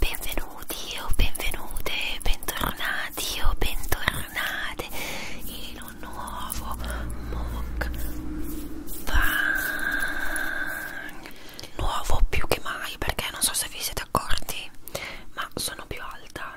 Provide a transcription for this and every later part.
Benvenuti o oh, benvenute, bentornati o oh, bentornate in un nuovo mock bang. Nuovo più che mai perché non so se vi siete accorti, ma sono più alta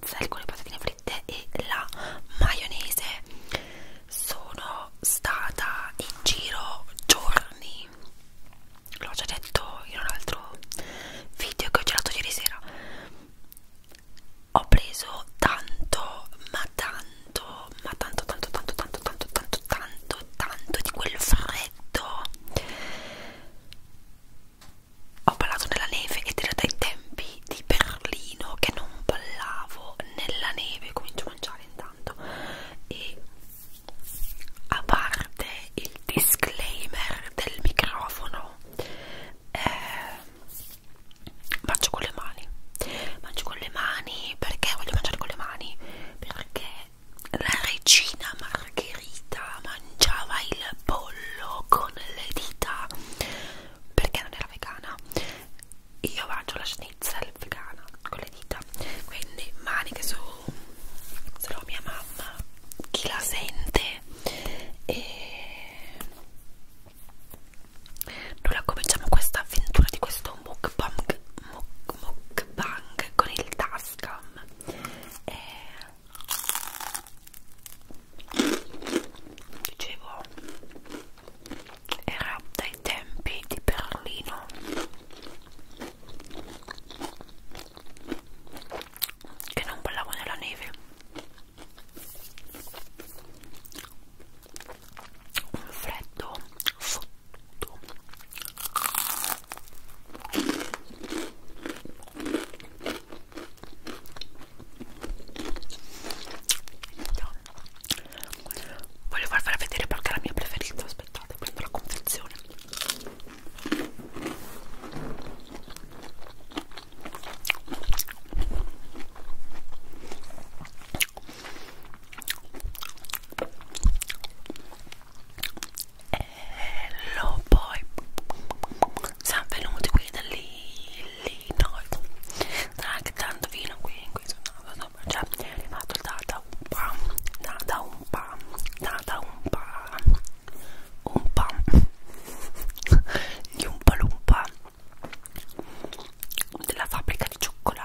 pretzel con le patatine fritte e la maionese sono stata in giro giorni l'ho già detto in un altro video che ho girato ieri sera ho preso tanto ma tanto ma tanto tanto tanto tanto tanto tanto tanto tanto di quel freddo ho ballato nella neve ed era dai tempi di Berlino che non ballavo nella neve comincio a mangiare intanto e a parte il disclaimer del microfono eh, mangio con le mani mangio con le mani perché voglio mangiare con le mani perché la regina Margherita mangiava il pollo con le dita perché non era vegana io mangio la schnitzel vegana con le dita quindi maniche su solo mia mamma chi la sente e noi cominciamo questa avventura di questo mukbang mukbang con il tascam e dicevo era dai tempi di Berlino che non ballavo nella neve un freddo fottuto Voglio farvela vedere perché è la mia preferita. Aspettate, prendo la confezione. Hello boy siamo venuti qui da lì, noi Sta anche tanto vino qui, qui sono andato Cioè, è arrivato il data un pa, data un pa, data un pa Un pa Gli un palumpa Della fabbrica di cioccolato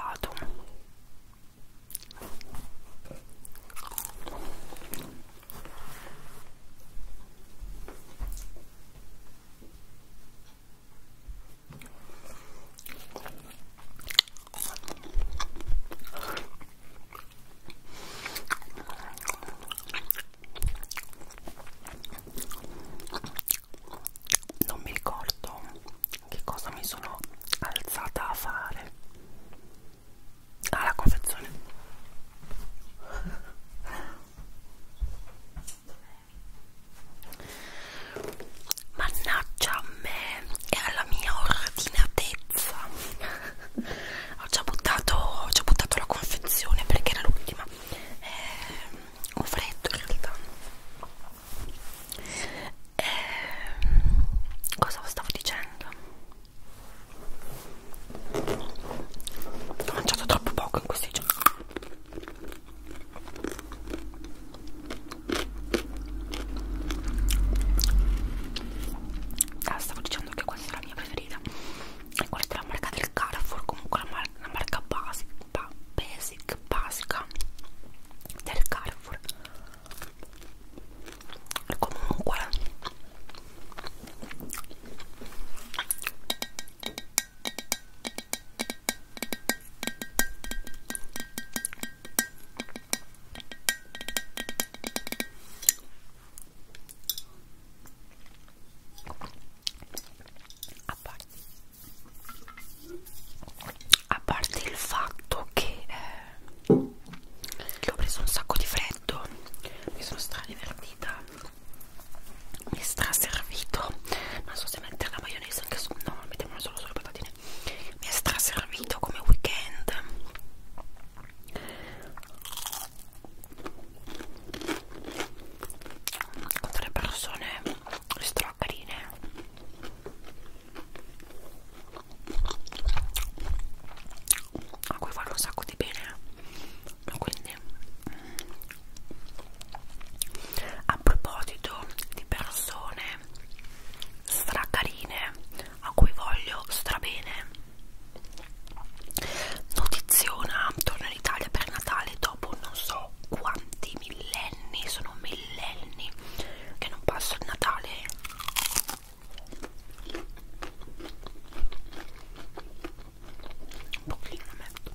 non mi ricordo che cosa mi sono alzata a fare Ah, la confezione. Mannaggia a me e alla mia ordinatezza. ho, già buttato, ho già buttato la confezione perché era l'ultima. Eh, ho freddo in realtà. Eh, cosa stavo dicendo? Ho mangiato troppo poco in questi giorni. Ah, stavo dicendo che questa è la mia preferita. E questa è la marca del Carrefour, comunque la, mar la marca basic, ba basic, basica del Carrefour. E comunque a parte, a parte il fatto che, eh, che ho preso un sacco di freddo mi sono stra divertita vita mi è straservito non so se mettere la maionese anche su no mettiamola solo sulle patatine mi è straservito come weekend con delle persone stracarine a cui fanno un sacco di bene quindi mm, a proposito di persone stracarine a cui voglio strabene notiziona torno in Italia per Natale dopo non so quanti millenni sono millenni che non passo il Natale un pochino metto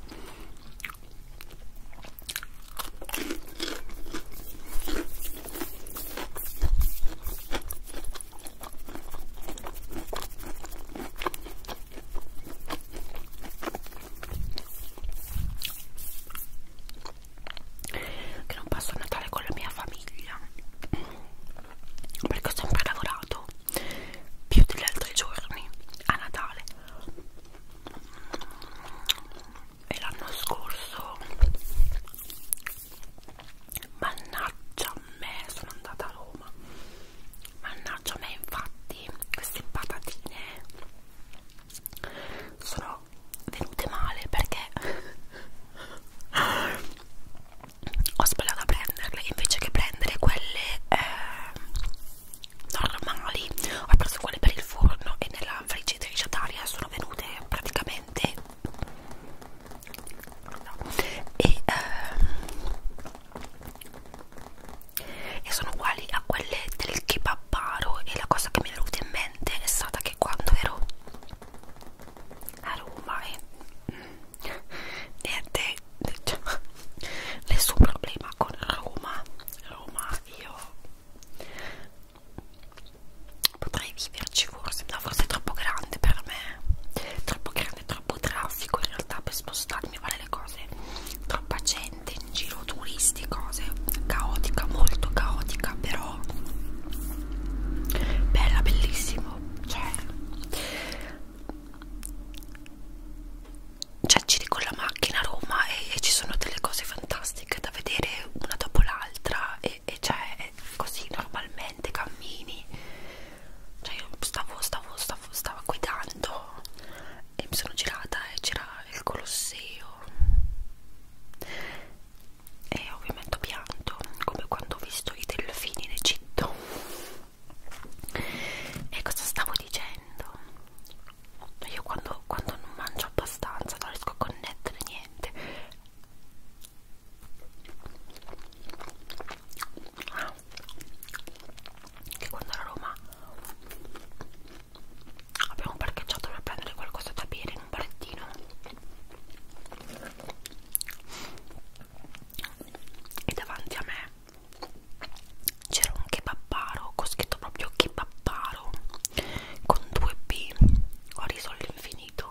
che non passo il Natale con la mia famiglia perché ho sempre lavorato più degli altri giorni a Natale e l'anno scorso mannaggia a me sono andata a Roma mannaggia a me infatti queste patatine sono venute male perché ho sbagliato a prenderle invece che prendere quelle eh, normali ho preso quelle per il forno e nella friggitrice ad aria sono venute praticamente e, eh, e sono uguali a quelle del kebabaro e la cosa che mi è venuta in mente è stata che quando ero a Roma e mm, niente diciamo, nessun problema con Roma Roma io potrei viverci forse no, forse è troppo grande per me troppo grande troppo traffico in realtà per spostarmi fare le cose troppa gente in giro turisti cose caotica molto caotica però bella bellissima io cioè cioè giri con la macchina a Roma e, e ci sono delle cose fantastiche da vedere una dopo l'altra e, e cioè così normalmente cammini cioè io stavo stavo stavo stavo guidando e mi sono girata e c'era il Colosseo e ovviamente ho pianto come quando ho visto i delfini in Egitto e cosa stavo dicendo? io quando, quando non mangio abbastanza non riesco a connettere niente ah, che quando ero a Roma abbiamo parcheggiato per prendere qualcosa da bere in un barettino e davanti a me c'era un kebabbaro con scritto proprio kebabbaro con due b ho riso all'infinito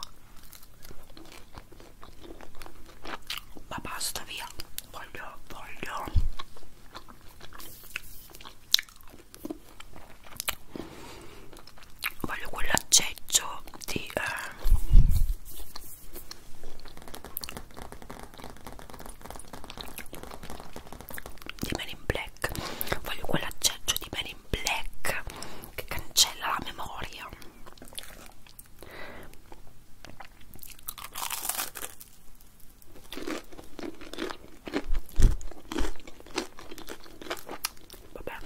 ma basta via voglio voglio voglio quell'acceggio di eh, di Men in Black voglio quell'acceggio di Men in Black che cancella la memoria Vabbè,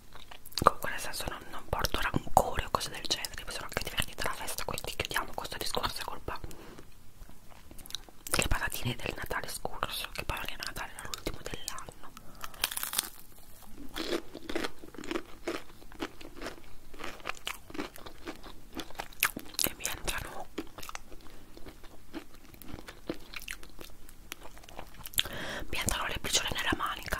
comunque nel senso non, non porto rancore o cose del genere mi sono anche divertita alla festa quindi chiudiamo questo discorso è colpa delle patatine del Natale scorso che poi anche Natale era l'ultimo dell'anno e mi entrano mi entrano le briciole nella manica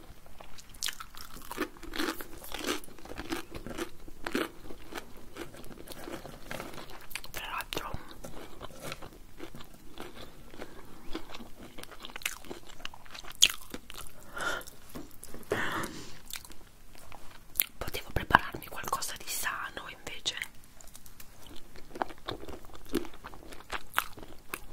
Tra l'altro potevo prepararmi qualcosa di sano invece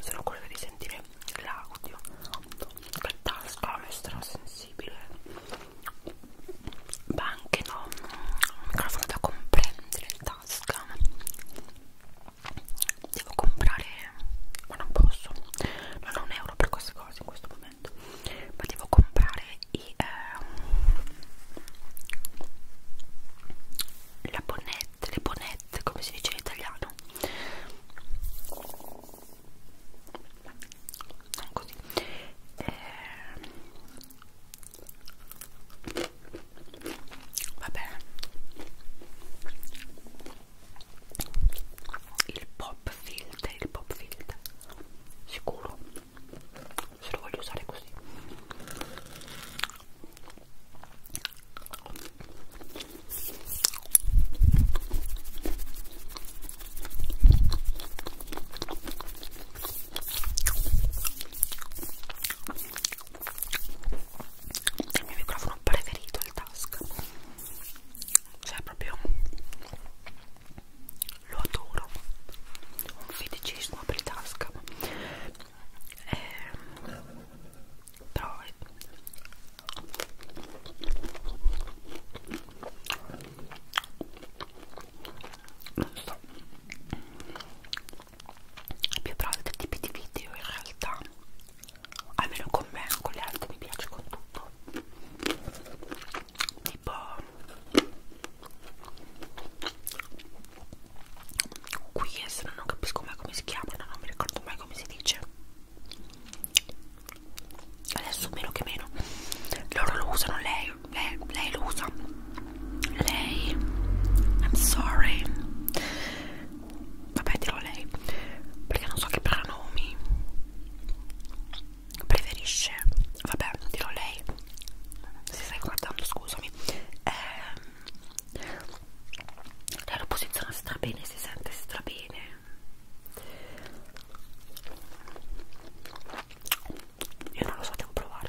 Sono curiosa di sentire l'audio che tasca è strasensibile ma anche no un microfono da comprendere in tasca devo comprare ma non posso non ho un euro per queste cose in questo momento momento ma devo comprare i, eh, la bonnette, le bonnette come si dice in italiano non così eh, vabbè il pop filter il pop filter sicuro se lo voglio usare così il mio microfono preferito il task cioè proprio lo adoro un feticismo apri tasca eh, però è... non so è più bravo dei tipi di video in realtà almeno con me, con le altre mi piace con tutto tipo qui adesso non capisco mai come si chiamano non mi ricordo mai come si dice adesso meno che meno loro lo usano lei lei, lei lo usa lei I'm sorry vabbè dirò lei perché non so che prenomi preferisce vabbè dirò lei se stai guardando scusami eh, lei lo posiziona strabene si sente strabene io non lo so devo provare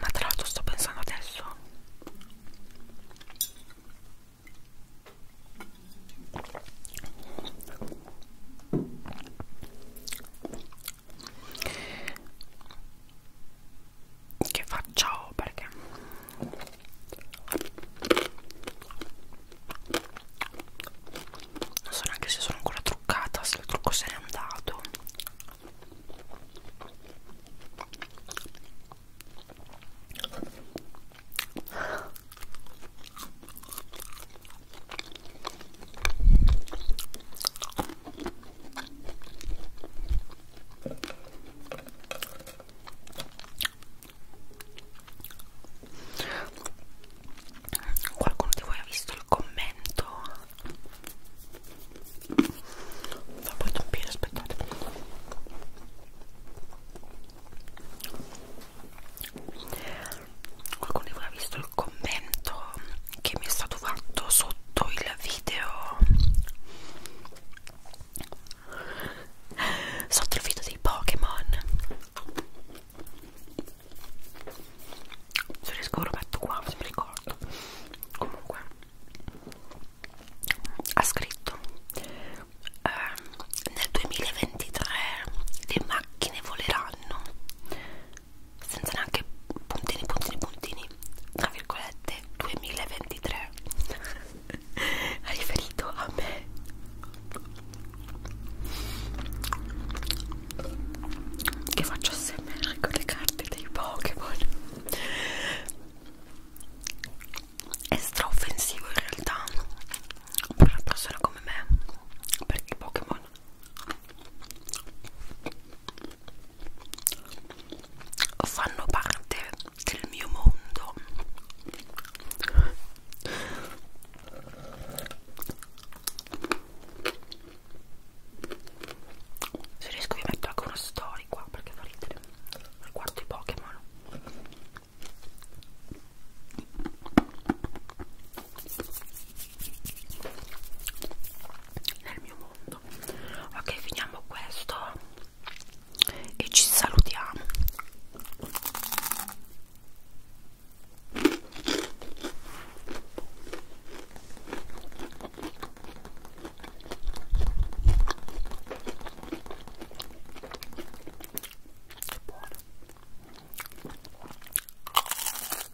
Ma tra l'altro sto pensando adesso che faccio oh, perché non so neanche se sono ancora truccata se il trucco se n'è andato Qualcuno di voi ha visto il commento? Fa poi toppire, aspettate. Qualcuno di voi ha visto il commento che mi è stato fatto sotto il video sotto il video dei Pokémon se riesco lo metto qua se mi ricordo comunque ha scritto eh, nel 2023 le macchine voleranno senza neanche puntini puntini puntini tra virgolette 2023 ha riferito a me che faccio smr con le carte dei Pokémon è straoffensivo in realtà per una persona come me perché i Pokémon fanno parte del mio mondo se riesco vi metto anche una story qua perché fa ridere riguardo i Pokémon nel mio mondo parlando ok finiamo questo e ci salutiamo Buono.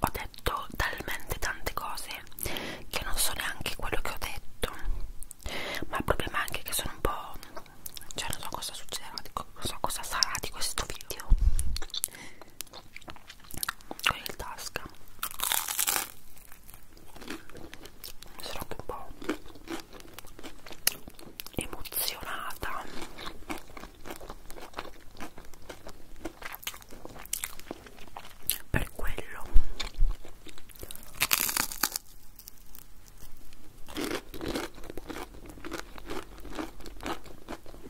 Ho detto talmente tante cose che non so neanche quello che ho detto. Ma il problema è anche che sono un po'. cioè non so cosa succederà, non so cosa sarà di questo video con il tasca sono anche un po' emozionata per quello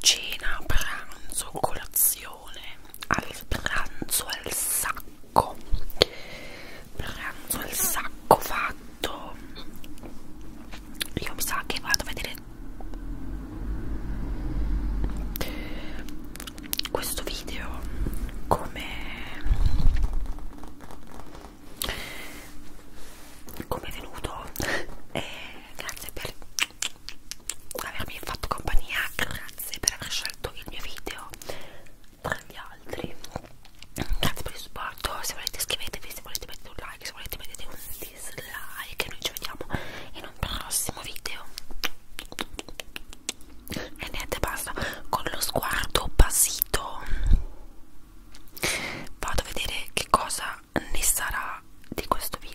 cena, pranzo, colazione, al pranzo al sacco, pranzo al sacco fatto, io mi sa che vado a vedere questo video come come è venuto e eh, grazie per avermi fatto compagnia grazie per aver scelto il mio video tra gli altri grazie per il supporto se volete iscrivetevi se volete mettete un like se volete mettete un dislike noi ci vediamo in un prossimo video e niente basta con lo sguardo basito vado a vedere che cosa ne sarà di questo video